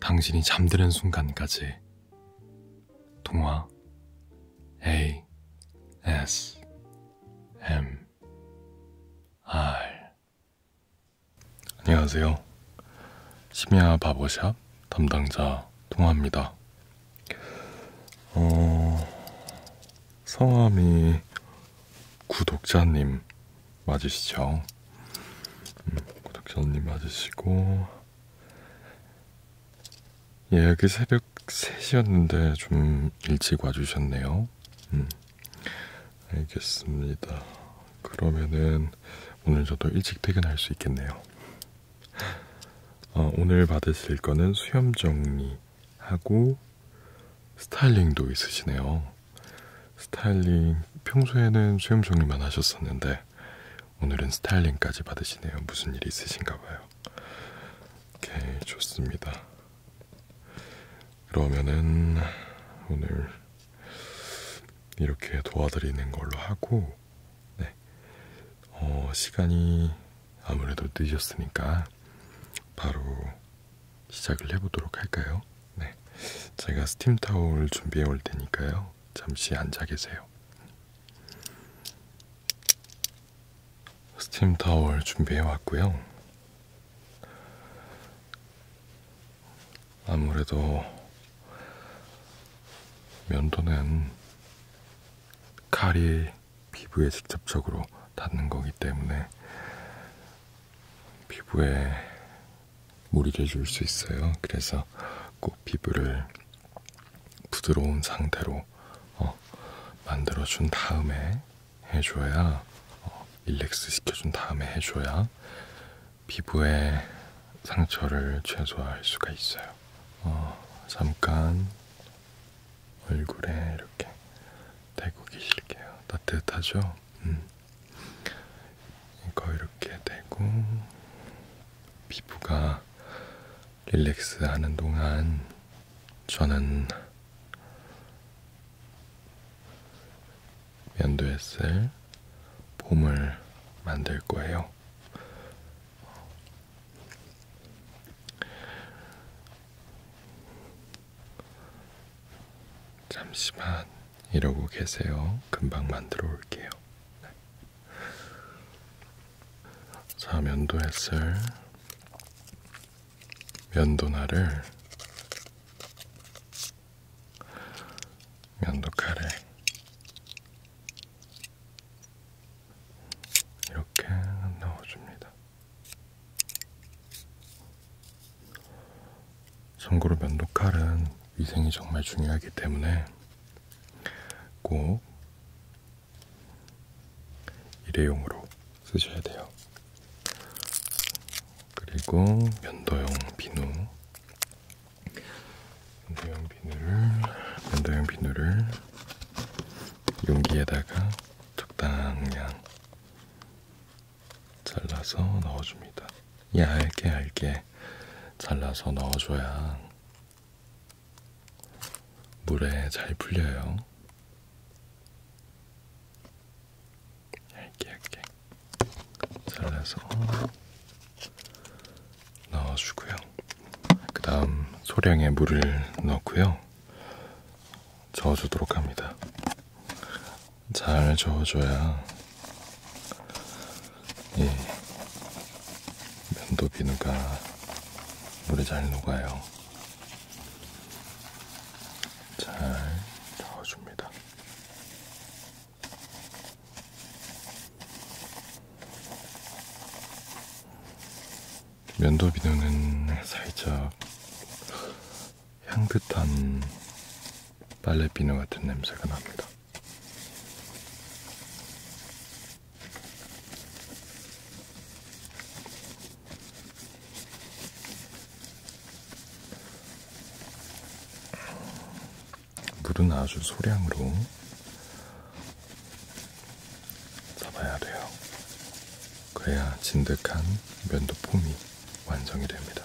당신이 잠드는 순간까지 동화 A S M R 안녕하세요. 심야 바보샵 담당자 동화입니다. 어, 성함이 구독자님 맞으시죠? 음, 구독자님 맞으시고 예약이 새벽 3시였는데 좀 일찍 와주셨네요. 음, 알겠습니다. 그러면은 오늘 저도 일찍 퇴근할 수 있겠네요. 어, 오늘 받으실 거는 수염 정리하고 스타일링도 있으시네요. 스타일링 평소에는 수염 정리만 하셨었는데 오늘은 스타일링까지 받으시네요. 무슨 일이 있으신가 봐요. 오케이, 좋습니다. 그러면은 오늘 이렇게 도와드리는 걸로 하고 네. 어, 시간이 아무래도 늦었으니까 바로 시작을 해보도록 할까요? 네, 제가 스팀 타올 준비해 올 테니까요. 잠시 앉아 계세요. 스팀 타월 준비해 왔고요. 아무래도 면도는 칼이 피부에 직접적으로 닿는 거기 때문에 피부에 무리를 줄수 있어요. 그래서 꼭 피부를 부드러운 상태로 어, 만들어준 다음에 해줘야 어, 릴렉스 시켜준 다음에 해줘야 피부에 상처를 최소화할 수가 있어요. 어, 잠깐 얼굴에 이렇게 대고 계실게요. 따뜻하죠? 음. 이거 이렇게 대고 피부가 릴렉스 하는 동안 저는 면도에 쓸 폼을 만들 거예요. 잠시만. 이러고 계세요. 금방 만들어 올게요. 네. 자, 면도 햇을 면도날을 면도칼에 이렇게 넣어줍니다. 참고로 면도칼은 위생이 정말 중요하기 때문에 꼭 일회용으로 쓰셔야 돼요. 그리고 면도용 비누, 면도용 비누를 면도용 비누를 용기에다가 적당량 잘라서 넣어줍니다. 예, 얇게 얇게 잘라서 넣어줘야 물에 잘 풀려요. 얇게 얇게 잘라서 넣어주고요. 그 다음 소량의 물을 넣고요. 저어주도록 합니다. 잘 저어줘야 이 예. 면도 비누가 물에 잘 녹아요. 잘 저어줍니다. 면도 비누는 살짝 향긋한 빨래 비누 같은 냄새가 납니다. 물은 아주 소량으로 잡아야 돼요. 그래야 진득한 면도폼이 완성이 됩니다.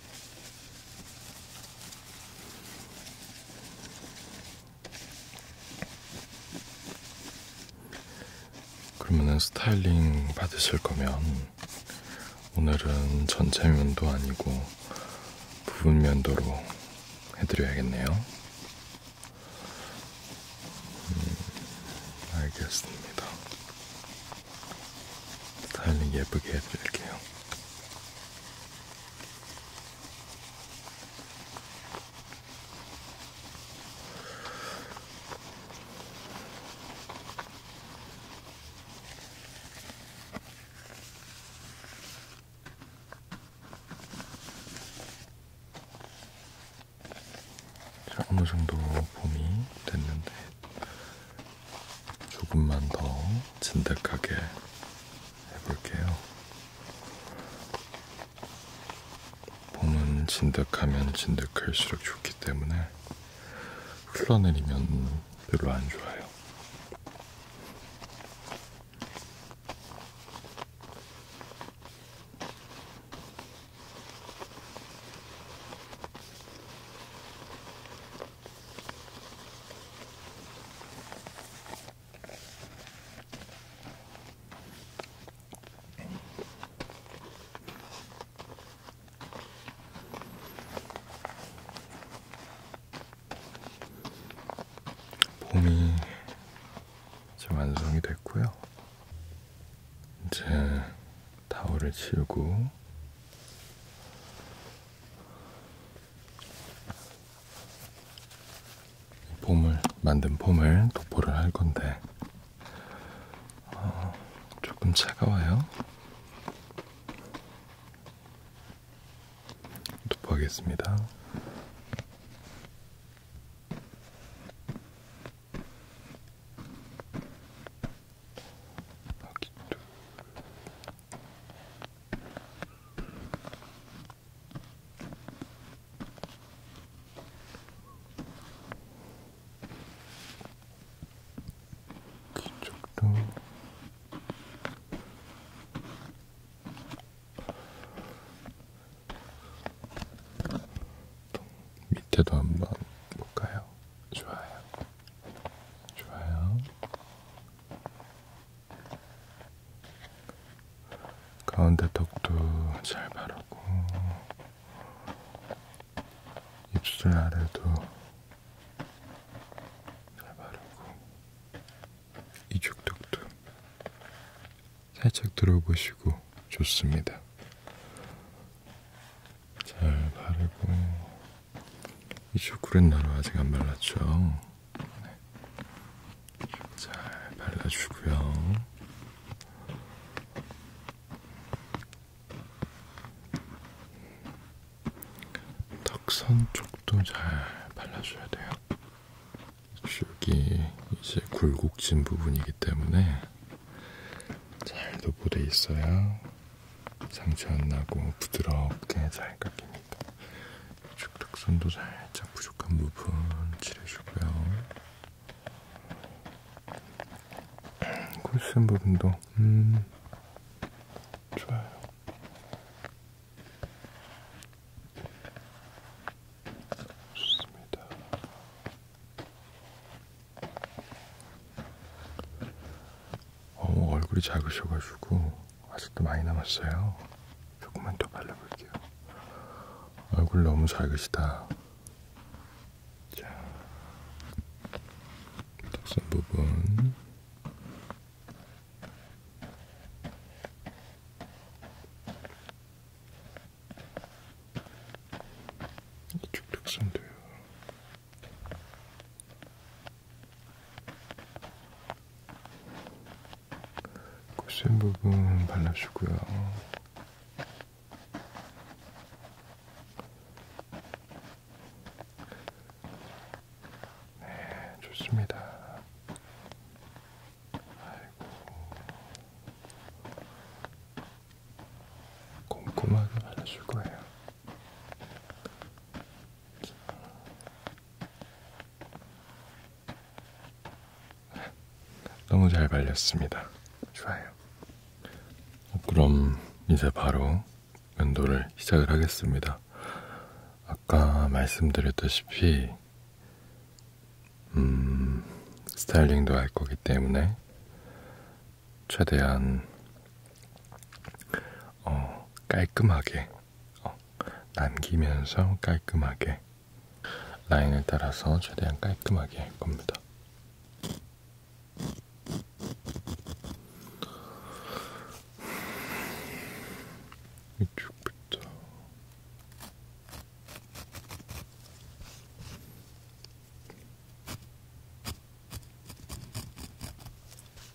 그러면은 스타일링 받으실 거면 오늘은 전체 면도 아니고 부분 면도로 해드려야겠네요. 음, 알겠습니다. 스타일링 예쁘게 해드릴게요. 어느 정도 봄이 됐는데 조금만 더 진득하게 해볼게요. 봄은 진득하면 진득할수록 좋기 때문에 흘러내리면 별로 안 좋아요. 봄이 이제 완성이 됐고요. 이제 타월을 치우고 폼을 만든 폼을 도포를 할 건데 어, 조금 차가워요. 도포하겠습니다. 뒤쪽도 밑에도 한번 볼까요? 좋아요. 좋아요. 가운데 턱도 잘 바르고 입술 아래도 잘 바르고 이쪽 턱도 살짝 들어보시고 좋습니다. 잘 바르고 이 초콜릿 나루 아직 안 발랐죠? 네. 잘 발라주고요. 턱선 쪽도 잘 발라줘야 돼요. 이쪽이 이제 굴곡진 부분이기 때문에 잘 도포돼 있어야 상처 안 나고 부드럽게 잘 깎입니다. 축탁선도 살짝 부족한 부분 칠해주고요. 콜슨 음, 부분도 음 좋아요. 좋습니다. 어머 얼굴이 작으셔가지고 아직도 많이 남았어요. 조금만 더 발라볼게요. 얼굴 너무 작으시다. 자, 턱선 부분. 이쪽 턱선도요. 곱슬 부분 발라주고요. 네, 좋습니다. 아이고, 꼼꼼하게 발라줄 거예요. 너무 잘 발렸습니다. 좋아요. 어, 그럼 이제 바로 면도를 시작을 하겠습니다. 아까 말씀드렸다시피 음, 스타일링도 할 거기 때문에 최대한 어, 깔끔하게 어, 남기면서 깔끔하게 라인을 따라서 최대한 깔끔하게 할 겁니다. 이쪽부터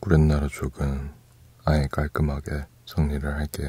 구렛나루 쪽은 아예 깔끔하게 정리를 할게요.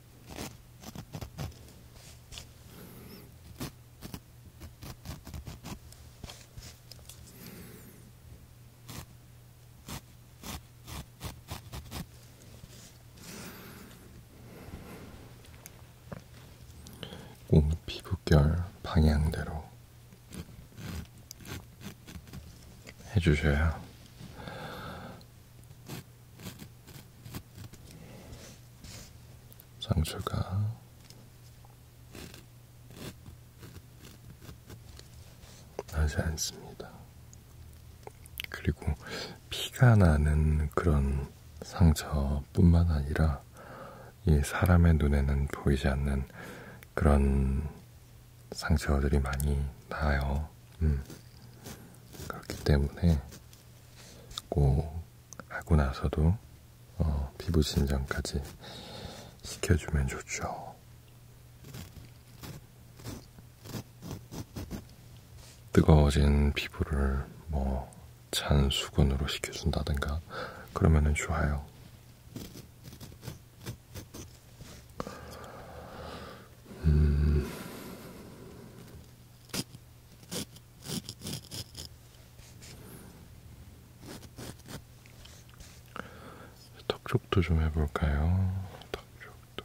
몸 피부결 방향대로 해주셔야 상처가 나지 않습니다. 그리고 피가 나는 그런 상처뿐만 아니라 이 사람의 눈에는 보이지 않는 그런 상처들이 많이 나요. 음. 그렇기 때문에 꼭 하고 나서도 어, 피부 진정까지 시켜주면 좋죠. 뜨거워진 피부를 뭐찬 수건으로 식혀준다든가 그러면은 좋아요. 음... 턱 쪽도 좀 해볼까요? 턱 쪽도.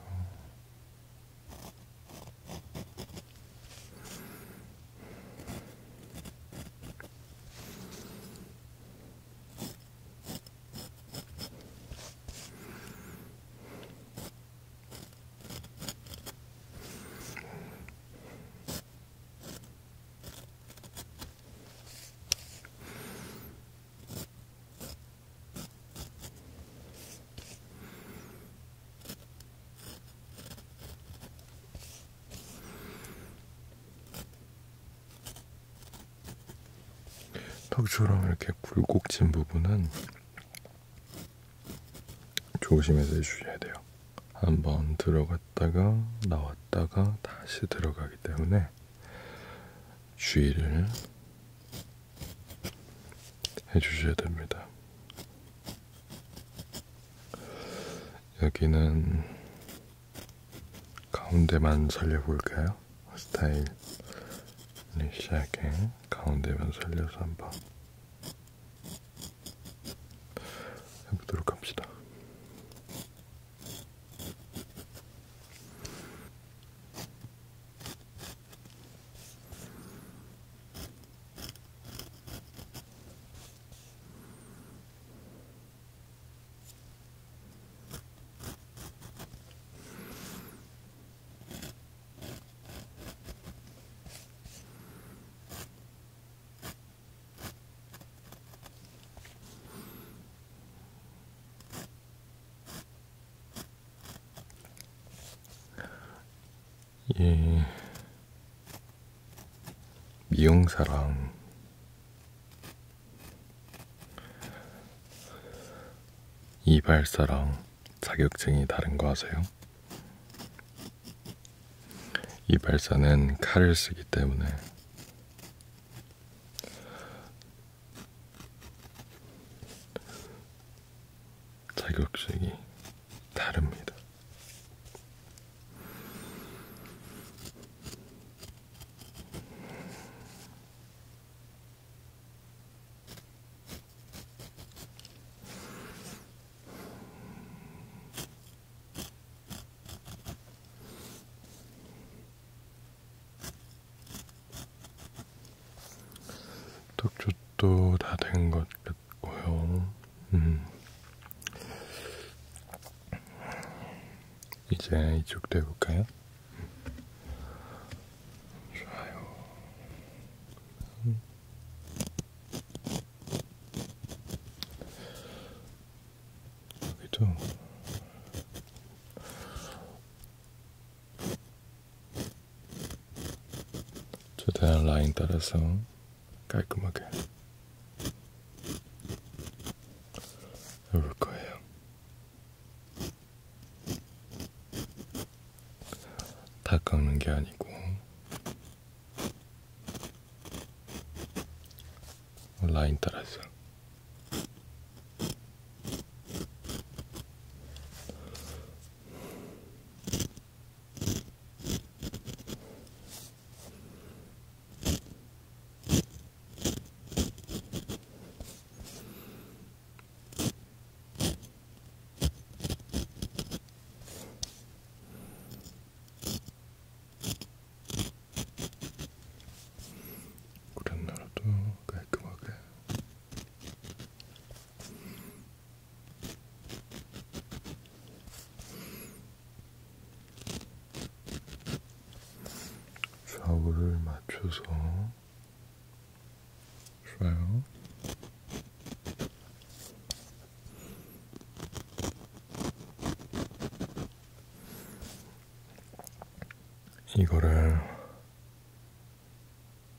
턱주랑 이렇게 굴곡진 부분은 조심해서 해주셔야 돼요. 한번 들어갔다가 나왔다가 다시 들어가기 때문에 주의를 해주셔야 됩니다. 여기는 가운데만 살려볼까요? 스타일 네, 시작해 가운데면 살려서 한번 해보도록 합시다. 예, 미용사랑 이발사랑 자격증이 다른 거 아세요? 이 발사는 칼을 쓰기 때문에 자격증이 다릅니다. 떡죽도 다 된 것 같고요. 음. 이제 이쪽도 해볼까요? 좋아요. 음. 여기도 최대한 라인 따라서 깔끔하게 해볼 거예요. 다 깎는 게 아니고 라인 따라서 우리나라도 깔끔하게 좌우를 맞춰서 좋아요. 이거를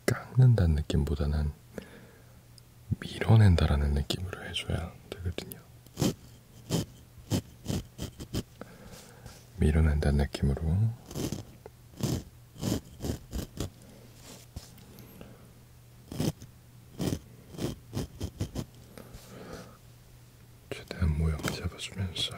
깎는다는 느낌보다는 밀어낸다라는 느낌으로 해줘야 되거든요. 밀어낸다는 느낌으로 최대한 모양 잡아주면서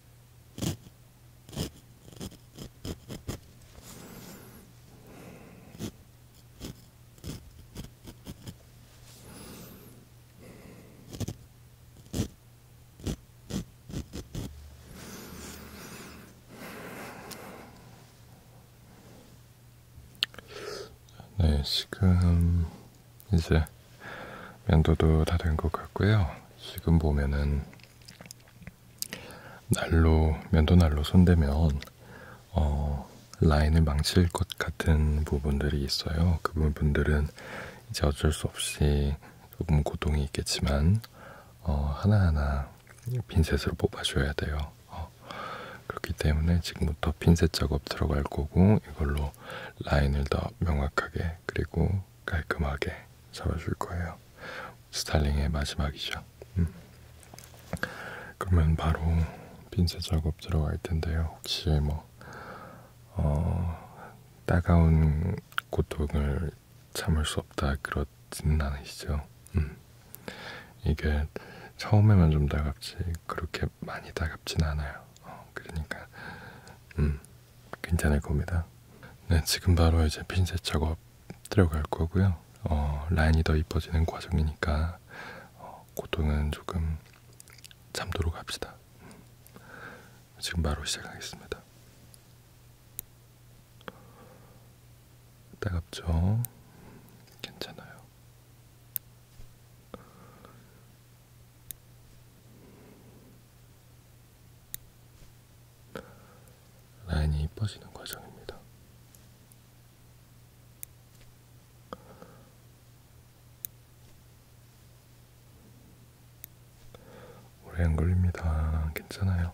네, 지금 이제 면도도 다 된 것 같고요. 지금 보면은 날로 면도 날로 손대면 어, 라인을 망칠 것 같은 부분들이 있어요. 그 부분들은 이제 어쩔 수 없이 조금 고통이 있겠지만 어, 하나하나 핀셋으로 뽑아줘야 돼요. 어, 그렇기 때문에 지금부터 핀셋 작업 들어갈 거고 이걸로 라인을 더 명확하게 그리고 깔끔하게 잡아줄 거예요. 스타일링의 마지막이죠. 음. 그러면 바로 핀셋 작업 들어갈 텐데요. 혹시 뭐 어, 따가운 고통을 참을 수 없다 그렇지는 않으시죠? 음. 이게 처음에만 좀 따갑지 그렇게 많이 따갑진 않아요. 어, 그러니까 음. 괜찮을 겁니다. 네, 지금 바로 이제 핀셋 작업 들어갈 거고요. 어, 라인이 더 이뻐지는 과정이니까 어, 고통은 조금 잠도록 합시다. 지금 바로 시작하겠습니다. 따갑죠? 괜찮아요. 라인이 이뻐지는 과정입니다. 오래 안 걸립니다. 괜찮아요.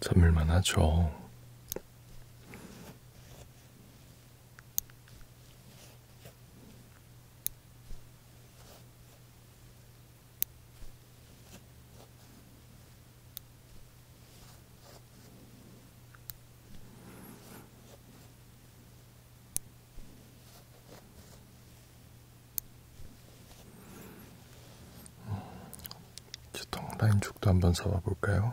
참을만 하죠. 통라인 죽도 한번 사와 볼까요?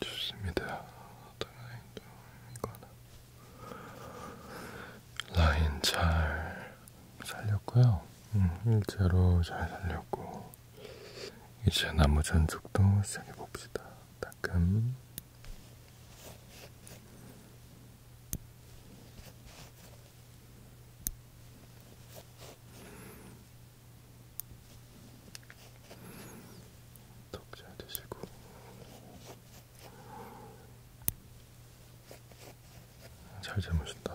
좋습니다. 어떤 라인도 이거나 라인 잘 살렸고요. 음, 일자로 잘 살렸고 이제 나무 전쪽도 시작해 봅시다. 따끔. 덕잘 드시고 잘 주무신다.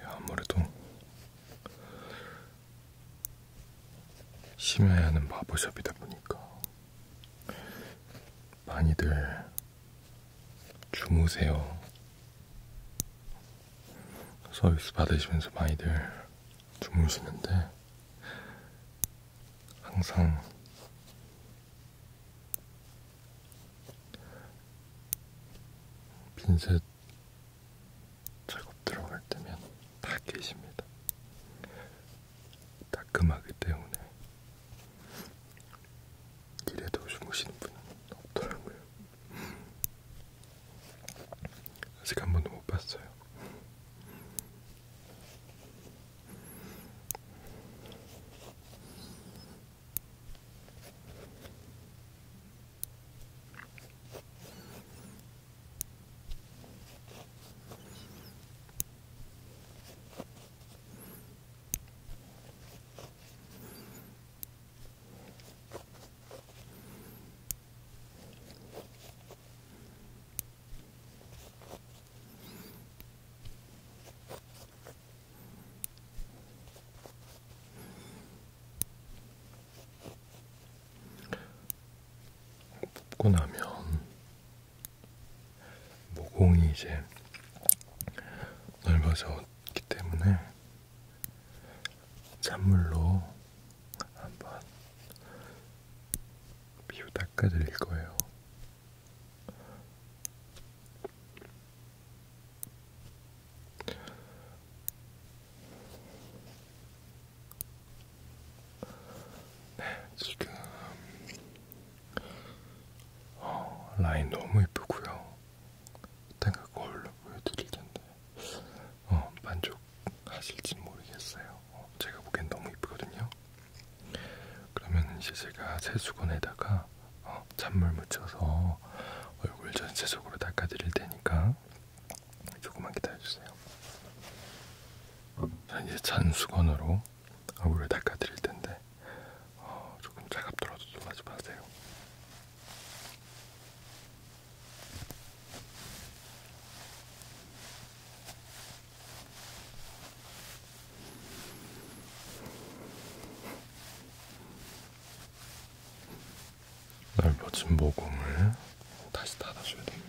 예, 아무래도 심해야 하는 바버샵이다 보니까 많이들 주무세요. 서비스 받으시면서 많이들 주무시는데 항상 빈셋 작업 들어갈 때면 다 계십니다. 따끔하기 때문에 길에도 주무시는 분은 없더라고요. 아직 한 번도 못 봤어요. 뽑고 나면 모공이 이제 넓어서 없기 때문에 찬물로 한번 피부 닦아드릴 거예요. 네, 지금 어, 라인 너무 예쁘고요. 내가 거울로 보여드릴 텐데 어, 만족하실지 모르겠어요. 어, 제가 보기엔 너무 이쁘거든요. 그러면 이제 제가 세수건에다가 어, 찬물 묻혀서 얼굴 전체적으로 닦아드릴 테니까 조금만 기다려주세요. 자, 이제 잔 수건으로 얼굴을 닦아드릴 텐데 어, 조금 차갑더라도 놀라지 마세요. 넓어진 모공을 다시 닫아줘야 됩니다.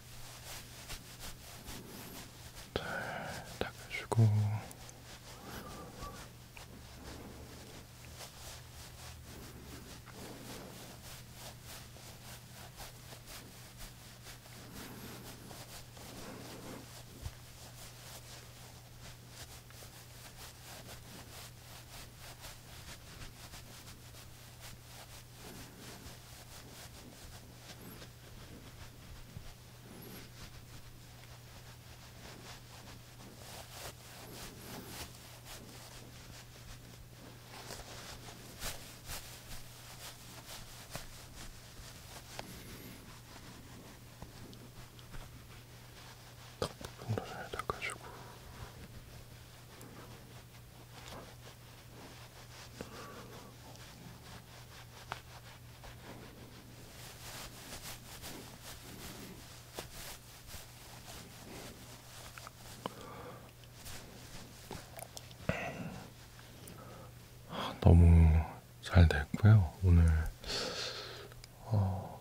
잘 닦아주고 딱 부분을 닦아주고 너무 잘 됐고요. 오늘 어,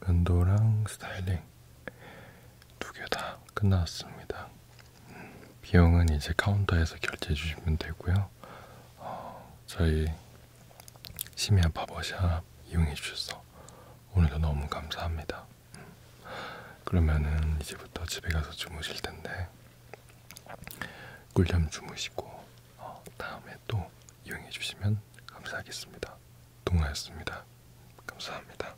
면도랑 스타일링 두 개 다 끝났습니다. 비용은 이제 카운터에서 결제해 주시면 되고요. 어, 저희 심야 바버샵 이용해 주셔서 오늘도 너무 감사합니다. 그러면은 이제부터 집에 가서 주무실 텐데 꿀잠 주무시고 어, 다음에 또 이용해 주시면 감사하겠습니다. 동아였습니다. 감사합니다.